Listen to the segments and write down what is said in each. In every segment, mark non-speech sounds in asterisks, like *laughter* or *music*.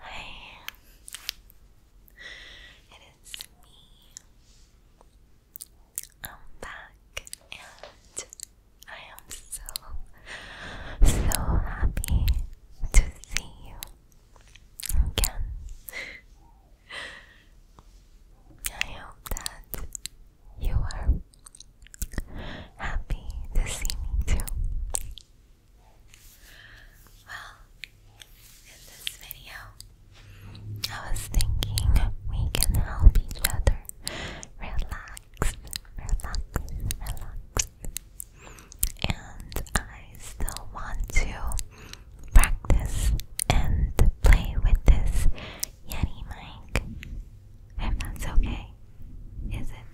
Hi, it is me. I'm back and I am so, so happy to see you again. I hope that you are happy to see me too. Well, in this video, I was thinking we can help each other relax, relax, relax. And I still want to practice and play with this Yeti mic, if that's okay. Is it?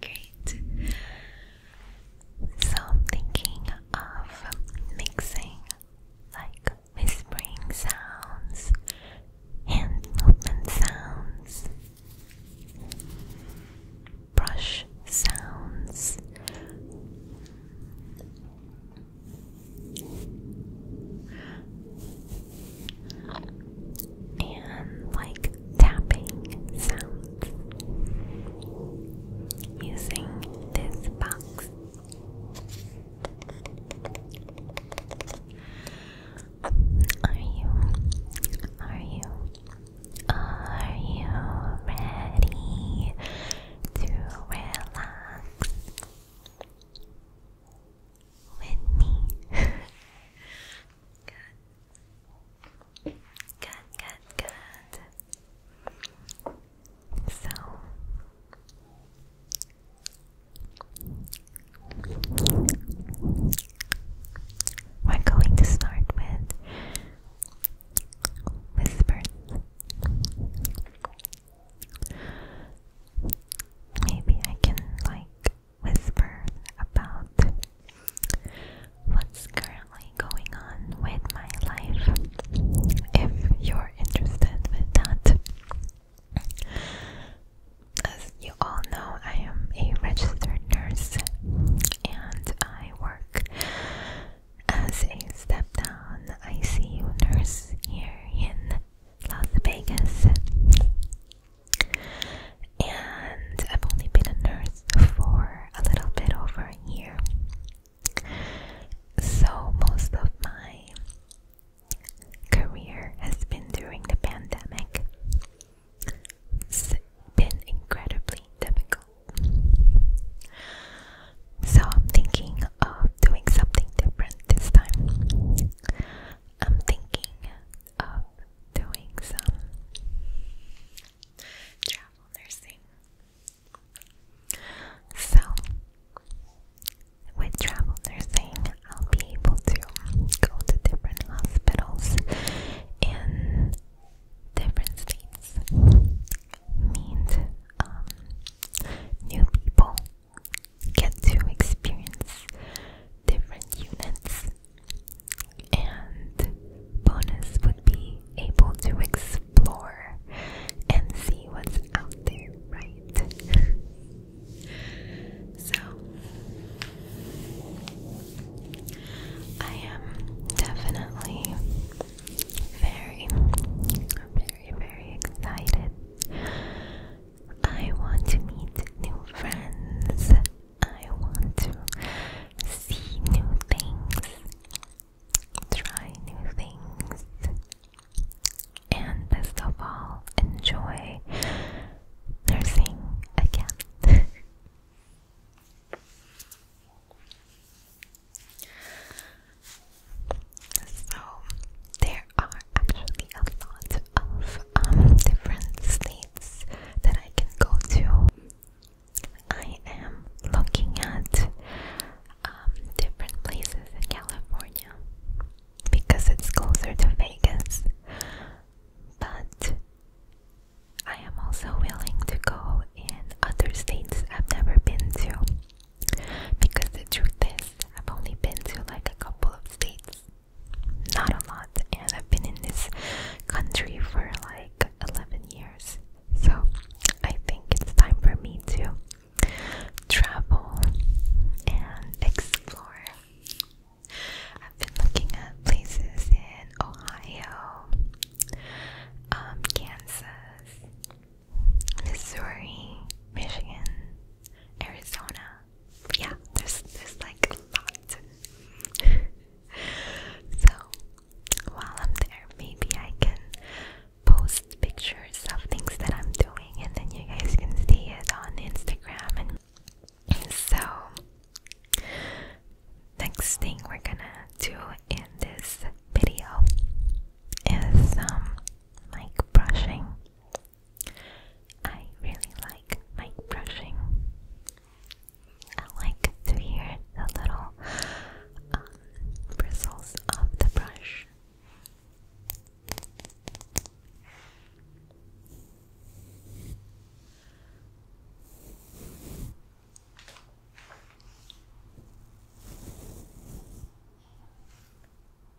Great. So I'm thinking of mixing like whispering sounds, hand movement sounds, brush sounds, and like tapping sounds using this box. Are you? Are you? Are you ready to relax? with me. good. Good, good, So we're going to start with whispers. Maybe I can like whisper about what's currently going on with my life if you're interested with that. As you all know, I am a registered nurse and I work as a step down ICU nurse here in Las Vegas. And I've only been a nurse for a little bit over a year. So most of my career has been during the pandemic. It's been incredibly difficult. So I'm thinking of doing something different this time. I'm thinking of doing some travel nursing. So, with travel nursing, I'll be able to go to different hospitals in different states, meet um, new people, get to experience different units, and bonus would be able to explore and see what's out there, right? *laughs* so, I am definitely very, very, very excited I want to meet new friends. I want to see new things, try new things, and best of all, enjoy nursing again. *laughs* so, there are actually a lot of um, different states that I can go to. I am looking at um, different places in California because it's closer to Vegas, but I am also willing to go in other states I've never been to. Because the truth is, I've only been to like a couple of states, not a lot, and I've been in this country for like 11 years. So I think it's time for me to travel and explore. I've been looking at places in Ohio, um, Kansas, Missouri, Michigan, Arizona, yeah, there's there's like a lot. *laughs* so while I'm there, maybe I can post pictures of things that I'm doing, and then you guys can see it on Instagram. And, so, next thing we're gonna do in this video is um, like brushing. I really like mic brushing. I like to hear the little um, bristles of the brush.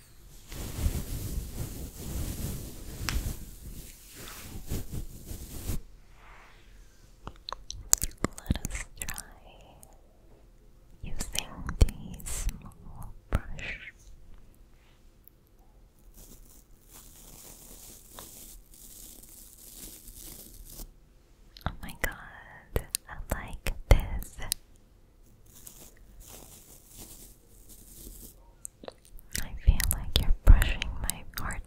Let us try using the small brush. Oh my god, I like this I feel like you're brushing my heart.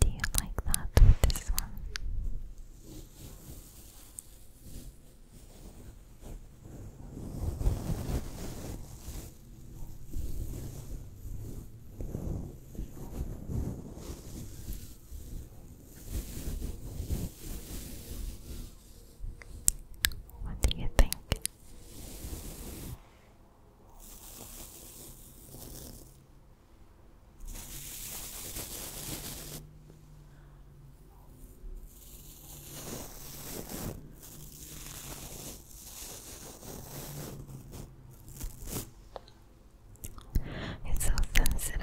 Do you like that this one? What do you think? It's so sensitive.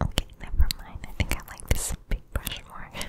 Okay, never mind. I think I like this big brush more. *laughs*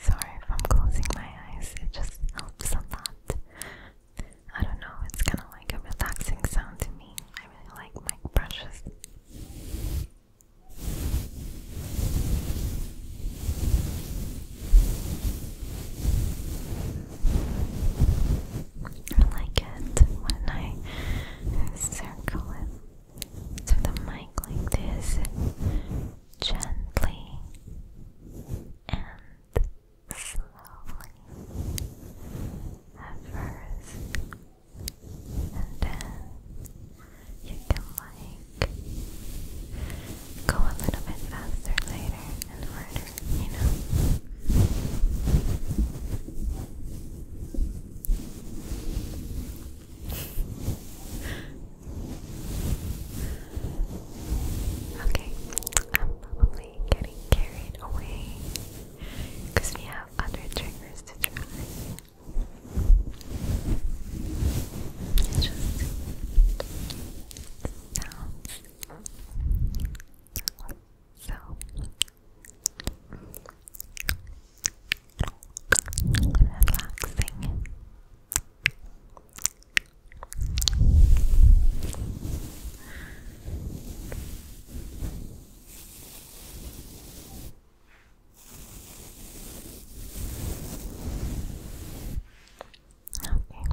Sorry if I'm closing my eyes, it just helps a lot. I don't know, it's kind of like a relaxing sound to me. I really like mic brushes. I like it when I circle it to the mic like this gently and slowly at first, and then you can like go a little bit faster later and harder, you know okay, I'm probably getting carried away because we have other triggers to try. so relaxing. Okay,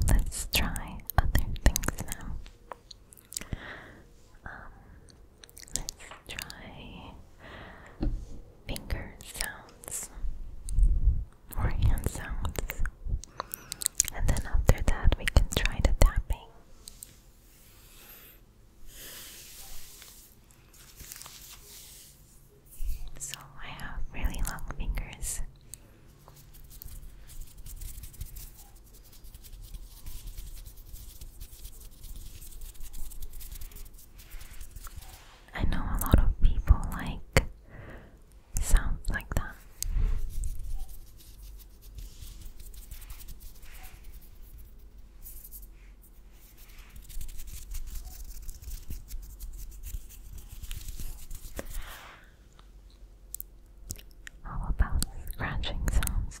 let's try other things now. Um, let's try finger sounds or hand sounds. And then after that, we can try the tapping. So I have really long fingers. I know a lot of people like sounds like that. All about scratching sounds.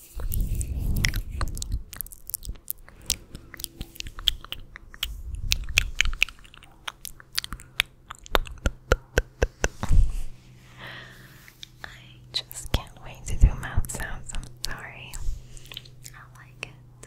I just can't wait to do mouth sounds. I'm sorry. I like it.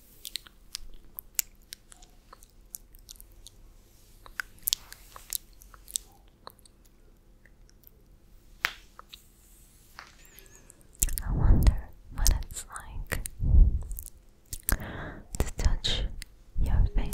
I wonder what it's like to touch your face.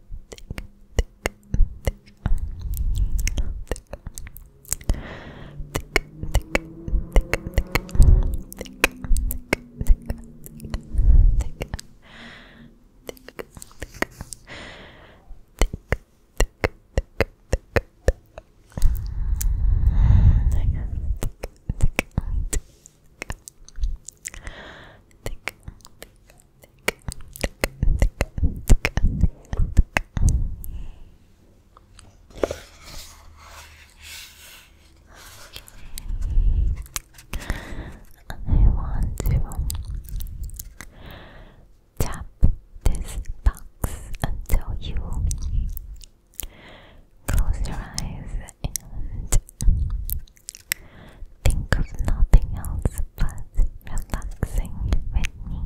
thick, thick, thick, thick, thick, thick, thick, thick, thick, thick, thick. Thick, thick, thick, thick, thick, thick. Thick, I want to tap this box until you close your eyes and Think of nothing else but relaxing with me.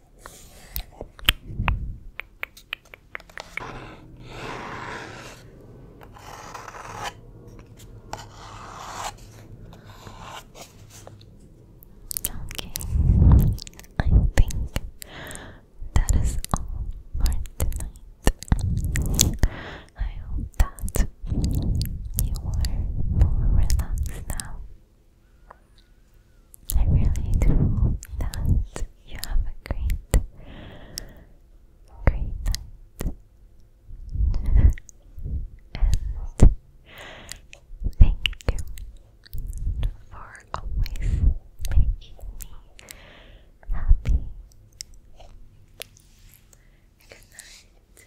Okay, I think that is all for tonight. I hope that you were more relaxed now I really hope that you have a great, great night. *laughs* and thank you for always making me happy. Good night.